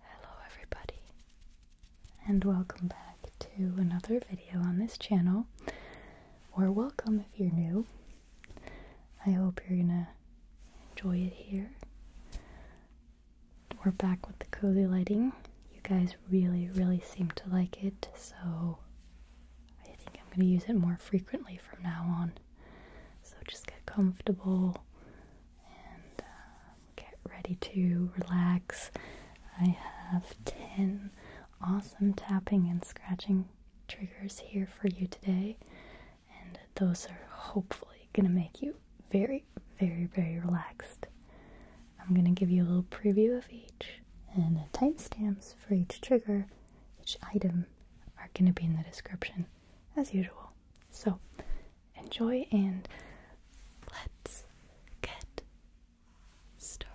Hello everybody and welcome back to another video on this channel or welcome if you're new. I hope you're gonna enjoy it here. We're back with the cozy lighting. You guys really really seem to like it so I think I'm gonna use it more frequently from now on. So just get comfortable and um, get ready to relax. I have 10 awesome tapping and scratching triggers here for you today, and those are hopefully going to make you very, very, very relaxed. I'm going to give you a little preview of each and the timestamps for each trigger, each item, are going to be in the description as usual. So enjoy and let's get started.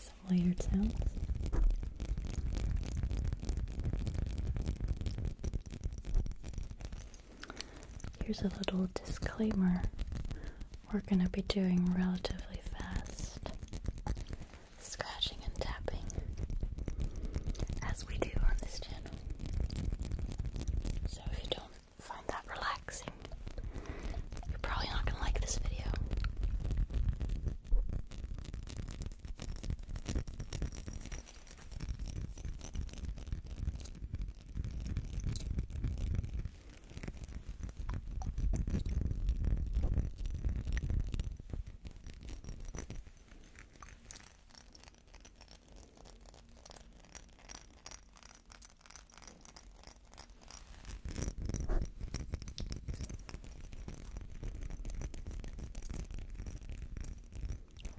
Some layered Here's a little disclaimer we're going to be doing relatively fast scratching and tapping as we do on this channel. So if you don't find that relaxing, you're probably not going to like this video.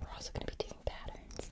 We're also going to be doing patterns.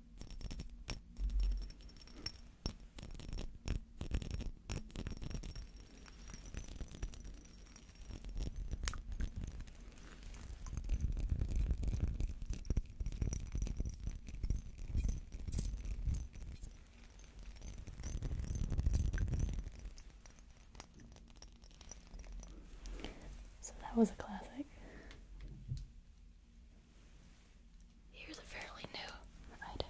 So that was a classic. Here's a fairly new item.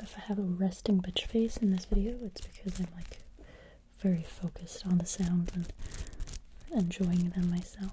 If I have a resting bitch face in this video, it's because I'm like very focused on the sounds and enjoying them myself.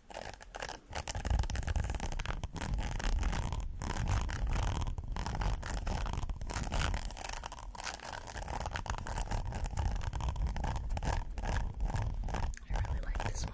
I really like this one.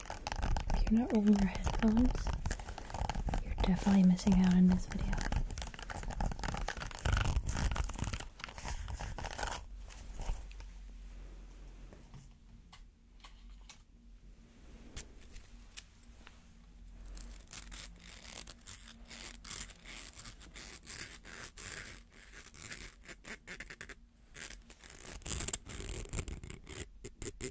If you're not wearing your headphones, you're definitely missing out on this video.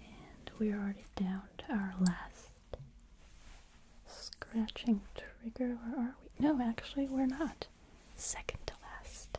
And we're already down to our last scratching trigger. Where are we? No, actually, we're not. Second to last.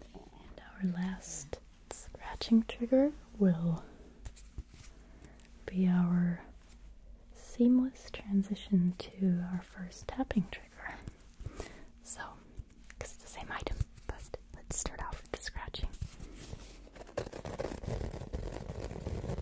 And our last scratching trigger will be our seamless transition to our first tapping trigger. So, because it's the same item, but let's start off with the scratching.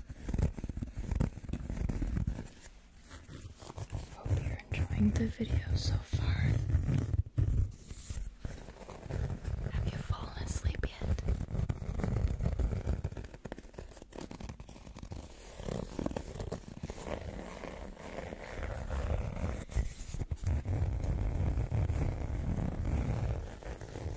Hope you're enjoying the video so far. Have you fallen asleep yet?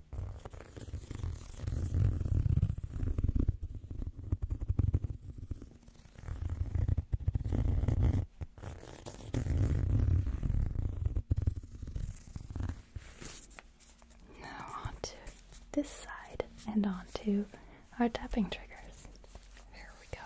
Now onto this side and onto our tapping triggers. There we go.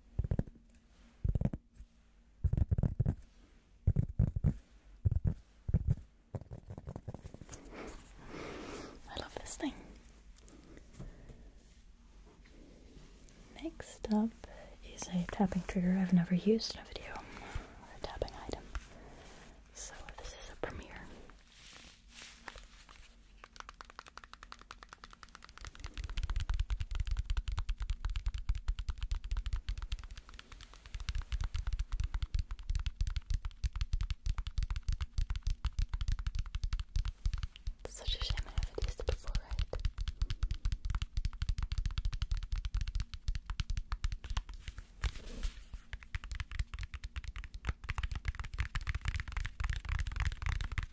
I love this thing. Next up is a tapping trigger I've never used in a video a tapping item. So this is a premiere. It's such a shame I haven't used it before, right?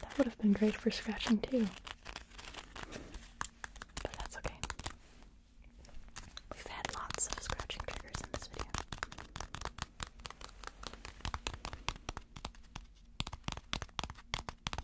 That would have been great for scratching too. But that's okay. We've had lots of scratching triggers in this video.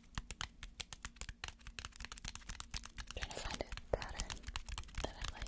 I'm trying to find a pattern that I like.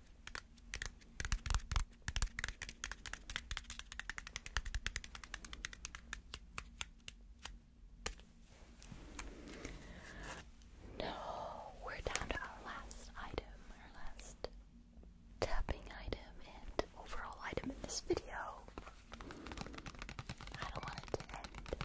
No, we're down to our last item, our last tapping item, and overall item in this video. I don't want it to end.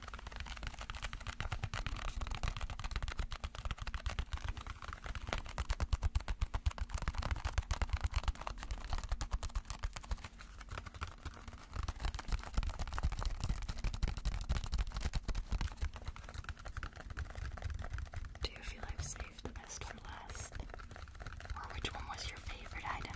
Do you feel I've saved the best for last? Or which one was your favorite item?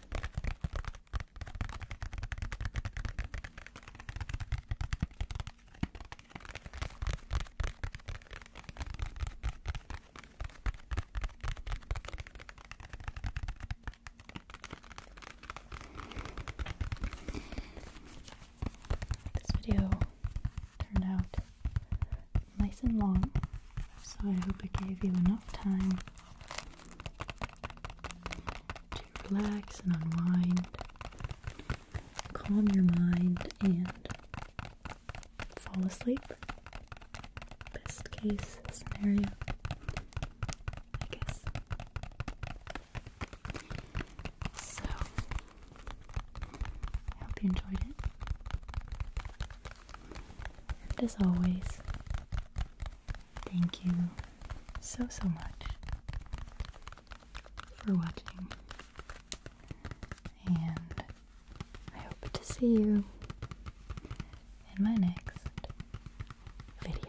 This video turned out nice and long, so I hope it gave you enough time to relax and unwind, calm your mind, and fall asleep. Best case scenario, I guess. So, I hope you enjoyed it. And as always, thank you so, so much for watching. And I hope to see you in my next video.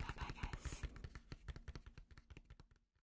Bye bye, guys.